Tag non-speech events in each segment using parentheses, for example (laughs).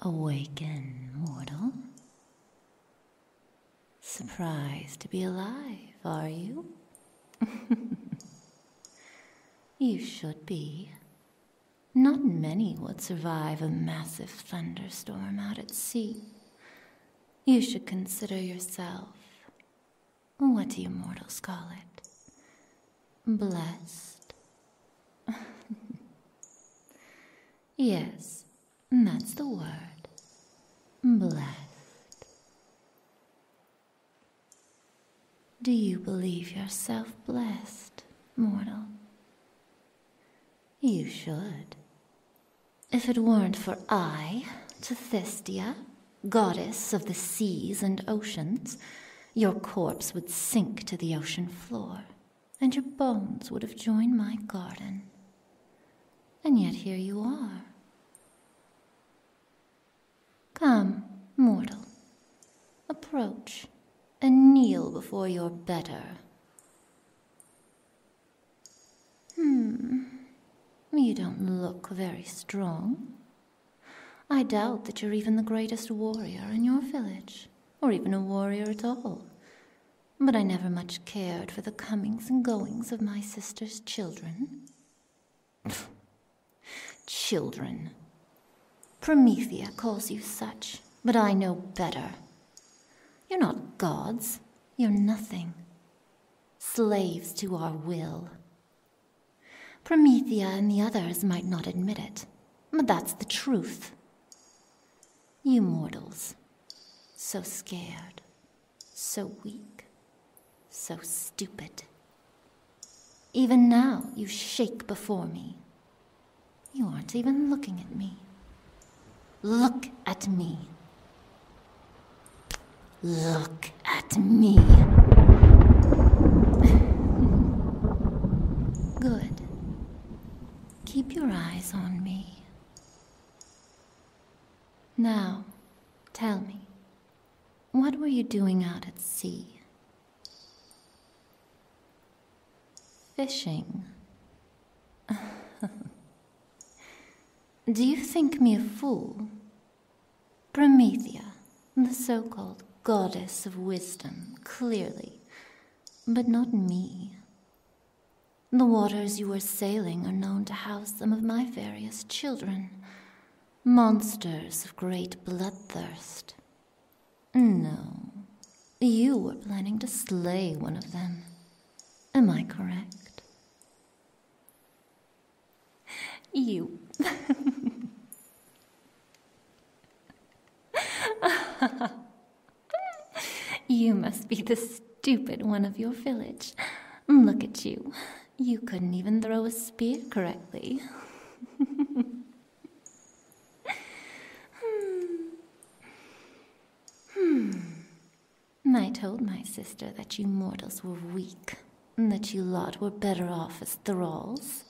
Awaken, mortal. Surprised to be alive, are you? (laughs) you should be. Not many would survive a massive thunderstorm out at sea. You should consider yourself what do you mortals call it? Blessed? (laughs) yes, that's the word. Blessed. Do you believe yourself blessed, mortal? You should. If it weren't for I, to Thestia, goddess of the seas and oceans, your corpse would sink to the ocean floor, and your bones would have joined my garden. And yet here you are. Come, mortal, approach and kneel before your better. Hmm, you don't look very strong. I doubt that you're even the greatest warrior in your village, or even a warrior at all. But I never much cared for the comings and goings of my sister's children. (laughs) children. Promethea calls you such, but I know better. You're not gods, you're nothing. Slaves to our will, Promethea and the others might not admit it, but that's the truth. You mortals, so scared, so weak, so stupid. Even now, you shake before me. You aren't even looking at me. Look at me. Look at me. Good. Keep your eyes on me. Now, tell me, what were you doing out at sea? Fishing. (laughs) Do you think me a fool? Promethea, the so called goddess of wisdom, clearly, but not me. The waters you are sailing are known to house some of my various children, monsters of great bloodthirst. No, you were planning to slay one of them. Am I correct? you. you must be the stupid one of your village. Look at you. You couldn't even throw a spear correctly. Hmm. Hmm. I told my sister that you mortals were weak, and that you lot were better off as thralls.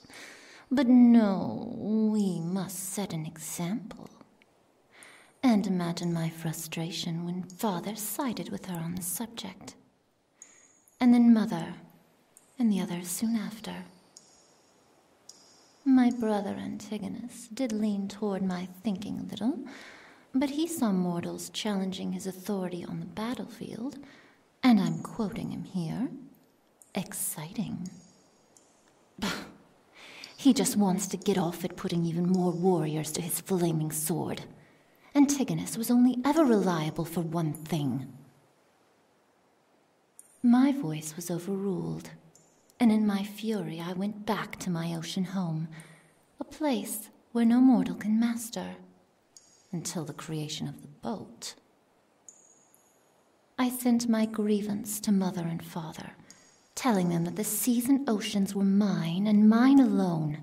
But no, we must set an example. And imagine my frustration when father sided with her on the subject. And then mother, and the others soon after. My brother Antigonus did lean toward my thinking a little, but he saw mortals challenging his authority on the battlefield, and I'm quoting him here. Exciting. Bah! (laughs) he just wants to get off at putting even more warriors to his flaming sword. Antigonus was only ever reliable for one thing. My voice was overruled, and in my fury I went back to my ocean home, a place where no mortal can master, until the creation of the boat. I sent my grievance to mother and father, telling them that the seas and oceans were mine and mine alone.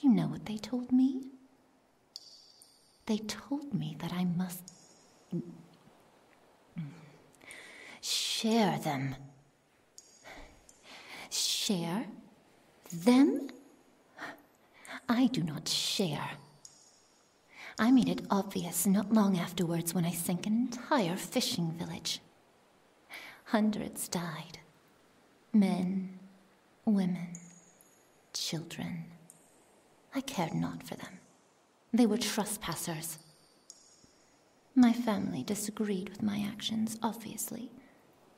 You know what they told me? They told me that I must share them Share them? I do not share. I made it obvious not long afterwards when I sank an entire fishing village. Hundreds died. Men, women, children. I cared not for them. They were trespassers. My family disagreed with my actions, obviously,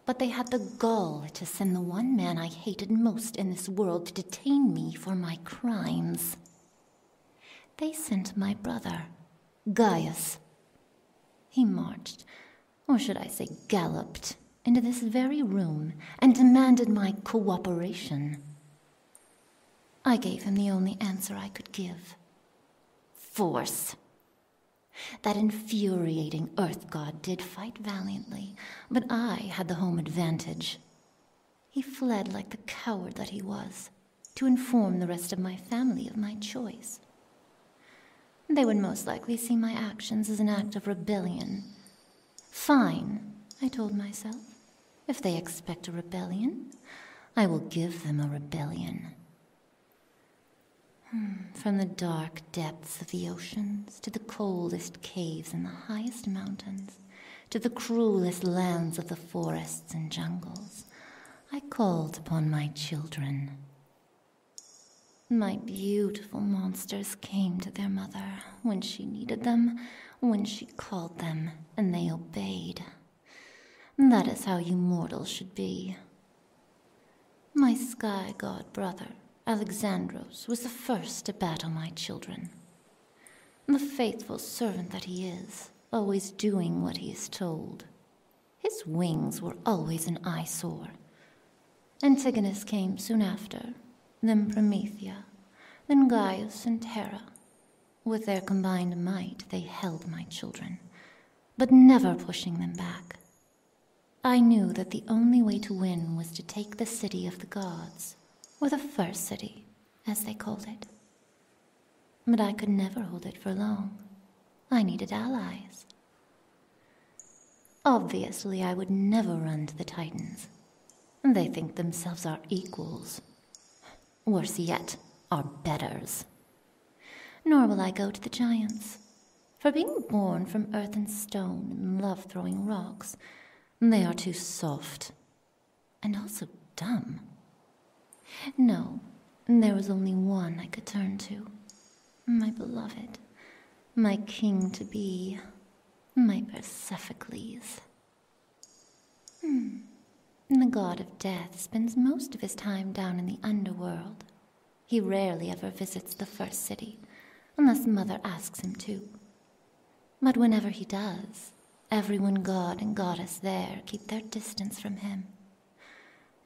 but they had the gall to send the one man I hated most in this world to detain me for my crimes. They sent my brother, Gaius. He marched, or should I say galloped, into this very room and demanded my cooperation. I gave him the only answer I could give force. That infuriating Earth God did fight valiantly, but I had the home advantage. He fled like the coward that he was, to inform the rest of my family of my choice. They would most likely see my actions as an act of rebellion. Fine, I told myself. If they expect a rebellion, I will give them a rebellion. Hmm, from the dark depths of the oceans to the coldest caves and the highest mountains, to the cruelest lands of the forests and jungles, I called upon my children. My beautiful monsters came to their mother when she needed them, when she called them, and they obeyed. That is how you mortals should be. My sky god brother, Alexandros, was the first to battle my children. The faithful servant that he is, always doing what he is told. His wings were always an eyesore. Antigonus came soon after, then Promethea, then Gaius and Hera. With their combined might, they held my children, but never pushing them back. I knew that the only way to win was to take the city of the gods, or the first city, as they called it. But I could never hold it for long. I needed allies. Obviously, I would never run to the Titans. They think themselves our equals. Worse yet, our betters. Nor will I go to the giants. For being born from earth and stone and love throwing rocks, they are too soft and also dumb. No, there was only one I could turn to my beloved, my king to be, my Persephocle. Hmm. And The god of death spends most of his time down in the underworld. He rarely ever visits the first city, unless Mother asks him to. But whenever he does, everyone god and goddess there keep their distance from him,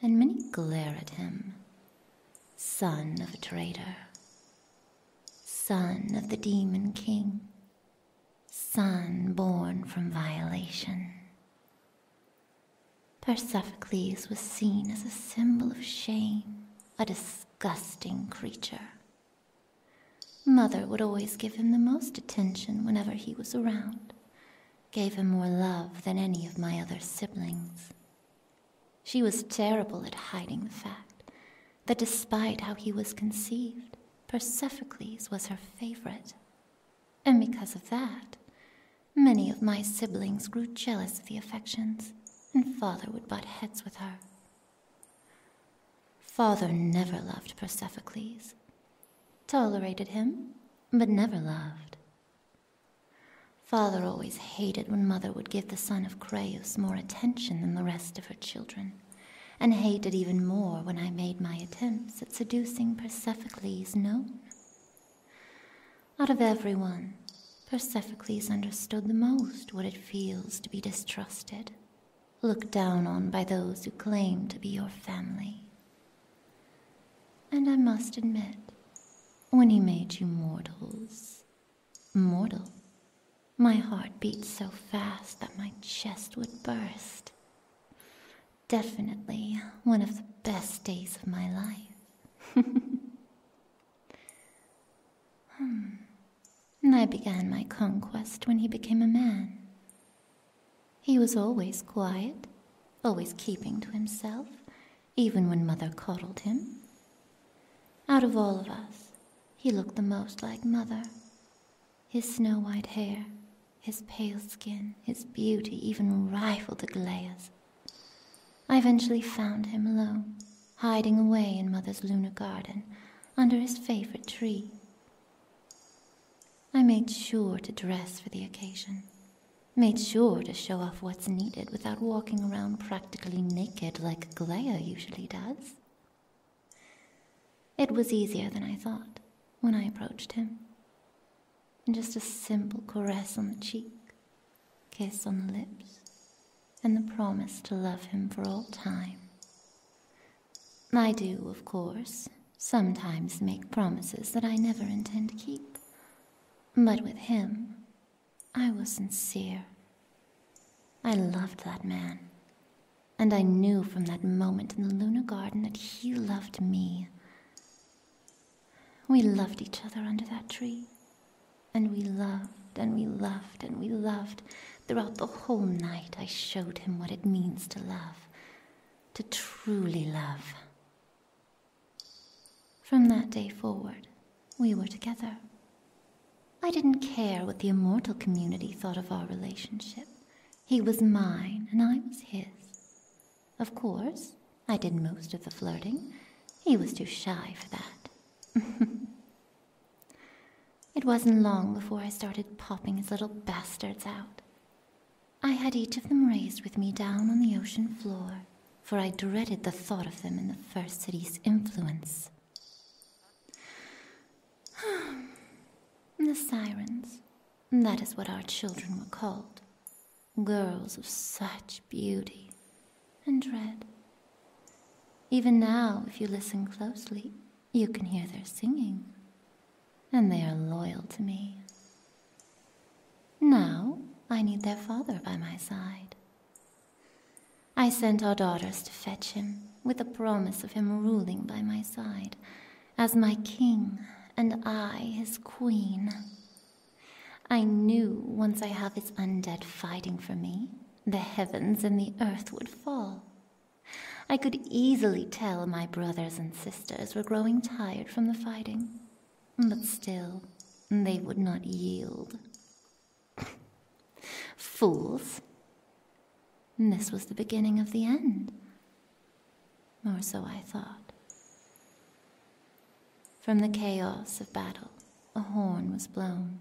and many glare at him. Son of a traitor, son of the demon king, son born from violation. Persephocles was seen as a symbol of shame, a disgusting creature. Mother would always give him the most attention whenever he was around, gave him more love than any of my other siblings. She was terrible at hiding the fact that despite how he was conceived, Persephocles was her favorite and because of that, many of my siblings grew jealous of the affections, and father would butt heads with her. Father never loved Persephocle,s tolerated him, but never loved. Father always hated when mother would give the son of Creus more attention than the rest of her children, and hated even more when I made my attempt that seducing Persephocle is known. Out of everyone, Persephocle understood the most what it feels to be distrusted, looked down on by those who claim to be your family. And I must admit, when he made you mortals, mortal, my heart beat so fast that my chest would burst. Definitely one of the best days of my life. (laughs) Hmm. And I began my conquest when he became a man. He was always quiet, always keeping to himself, even when Mother coddled him. Out of all of us, he looked the most like Mother, his snow white hair, his pale skin, his beauty even rivaled Aglaya's. I eventually found him alone, hiding away in Mother's lunar garden under his favorite tree. I made sure to dress for the occasion, made sure to show off what's needed without walking around practically naked like Glea usually does. It was easier than I thought when I approached him. just a simple caress on the cheek, kiss on the lips, and the promise to love him for all time. I do, of course, sometimes make promises that I never intend to keep. But with him, I was sincere. I loved that man, and I knew from that moment in the Lunar Garden that he loved me. We loved each other under that tree, and we loved and we loved and we loved. Throughout the whole night, I showed him what it means to love, to truly love. From that day forward, we were together. I didn't care what the immortal community thought of our relationship. He was mine, and I was his. Of course, I did most of the flirting. He was too shy for that. (laughs) it wasn't long before I started popping his little bastards out. I had each of them raised with me down on the ocean floor, for I dreaded the thought of them in the first city's influence the sirens. That is what our children were called. Girls of such beauty and dread. Even now, if you listen closely, you can hear their singing. And they are loyal to me. Now, I need their father by my side. I sent our daughters to fetch him, with the promise of him ruling by my side, as my king and I his queen. I knew once I have his undead fighting for me, the heavens and the earth would fall. I could easily tell my brothers and sisters were growing tired from the fighting, but still, they would not yield. (laughs) Fools! And this was the beginning of the end. Or so I thought. From the chaos of battle, a horn was blown,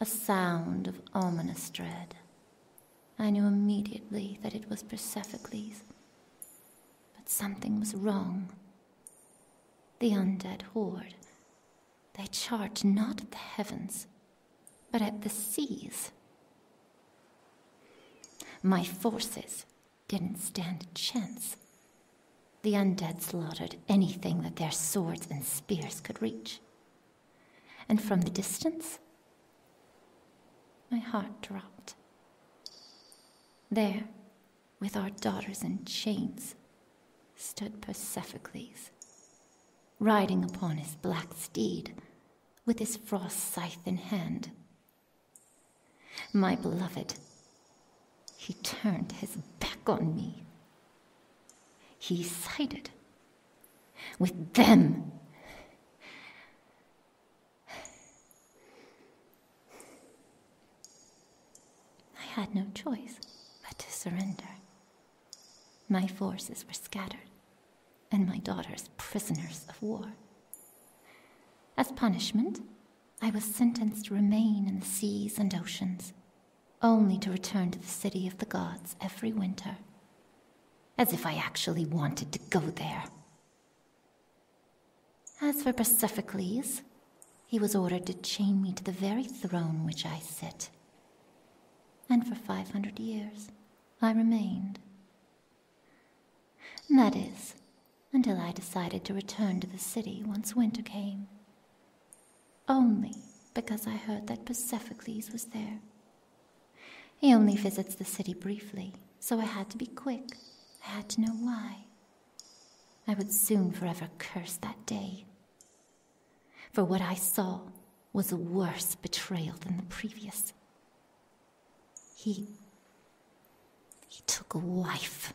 a sound of ominous dread. I knew immediately that it was Persephocle,s But something was wrong. The undead horde. They charged not the heavens, but at the seas. My forces didn't stand a chance. The undead slaughtered anything that their swords and spears could reach. And from the distance, my heart dropped. There, with our daughters in chains, stood Persephocle, riding upon his black steed with his frost scythe in hand. My beloved, he turned his back on me. He sided with them. I had no choice but to surrender. My forces were scattered, and my daughters prisoners of war. As punishment, I was sentenced to remain in the seas and oceans, only to return to the city of the gods every winter. As if I actually wanted to go there. As for Persephocles, he was ordered to chain me to the very throne which I sit and for five hundred years I remained. That is, until I decided to return to the city once winter came. Only because I heard that Persephocles was there. He only visits the city briefly, so I had to be quick. I had to know why. I would soon forever curse that day. For what I saw was a worse betrayal than the previous. He. he took a wife.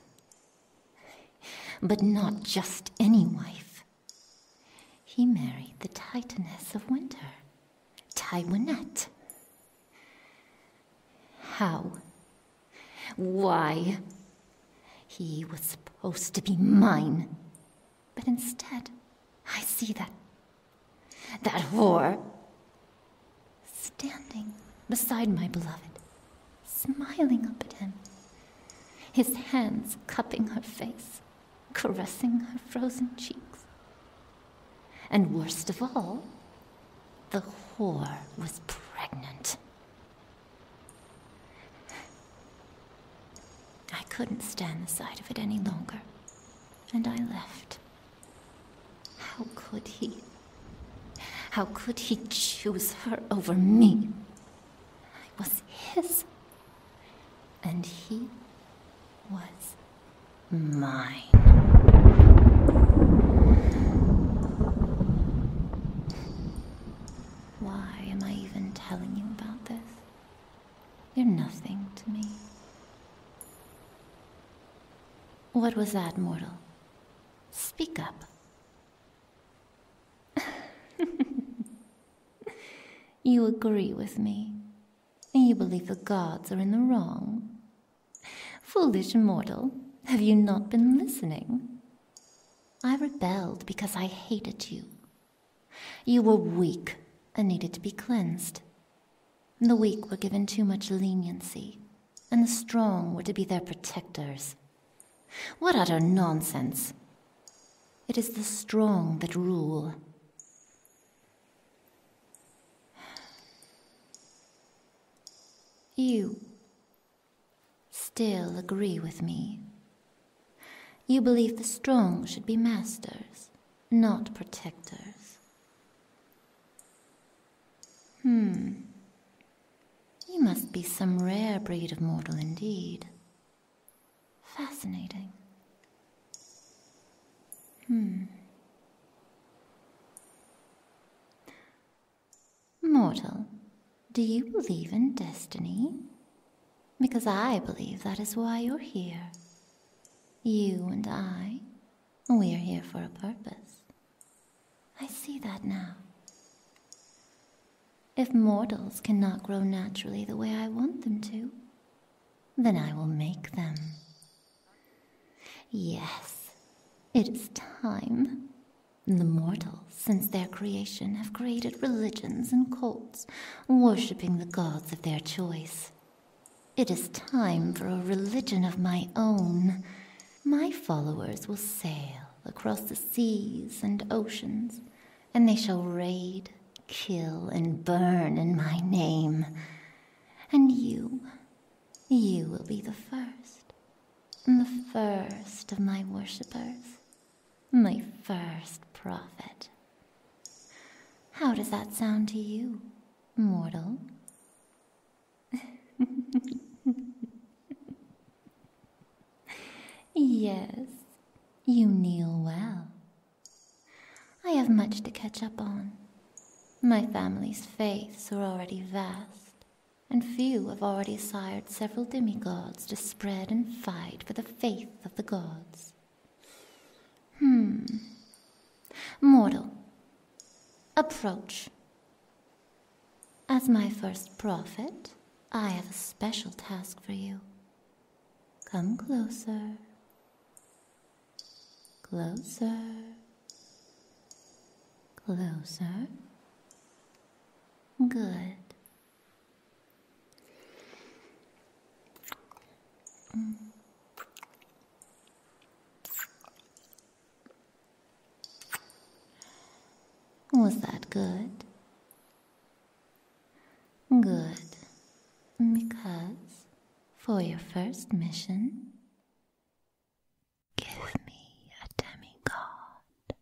But not just any wife. He married the Titaness of Winter, Tywinette. How? Why? He was supposed to be mine. But instead, I see that. that whore. standing beside my beloved, smiling up at him, his hands cupping her face, caressing her frozen cheeks. And worst of all, the whore was pregnant. I couldn't stand the sight of it any longer, and I left. How could he? How could he choose her over me? I was his, and he was mine. Why am I even telling you about this? You're nothing to me. What was that, mortal? Speak up. (laughs) you agree with me. and You believe the gods are in the wrong. Foolish mortal, have you not been listening? I rebelled because I hated you you were weak and needed to be cleansed. The weak were given too much leniency, and the strong were to be their protectors. What utter nonsense! It is the strong that rule. You still agree with me you believe the strong should be masters, not protectors. Hmm. You must be some rare breed of mortal indeed. Fascinating. Hmm. Mortal, do you believe in destiny? Because I believe that is why you're here. You and I, we are here for a purpose. I see that now. If mortals cannot grow naturally the way I want them to, then I will make them. Yes, it is time. The mortals since their creation, have created religions and cults, worshipping the gods of their choice. It is time for a religion of my own. My followers will sail across the seas and oceans, and they shall raid, kill, and burn in my name. And you, you will be the first, the first of my worshippers. My first prophet. How does that sound to you, mortal? yes, you kneel well. I have much to catch up on. My family's faiths are already vast, and few have already sired several demigods to spread and fight for the faith of the gods. Hmm. Mortal, approach. As my first prophet, I have a special task for you. Come closer. Closer. Closer. Good. Mm. Was that good? Good. Because for your first mission, give me a demigod.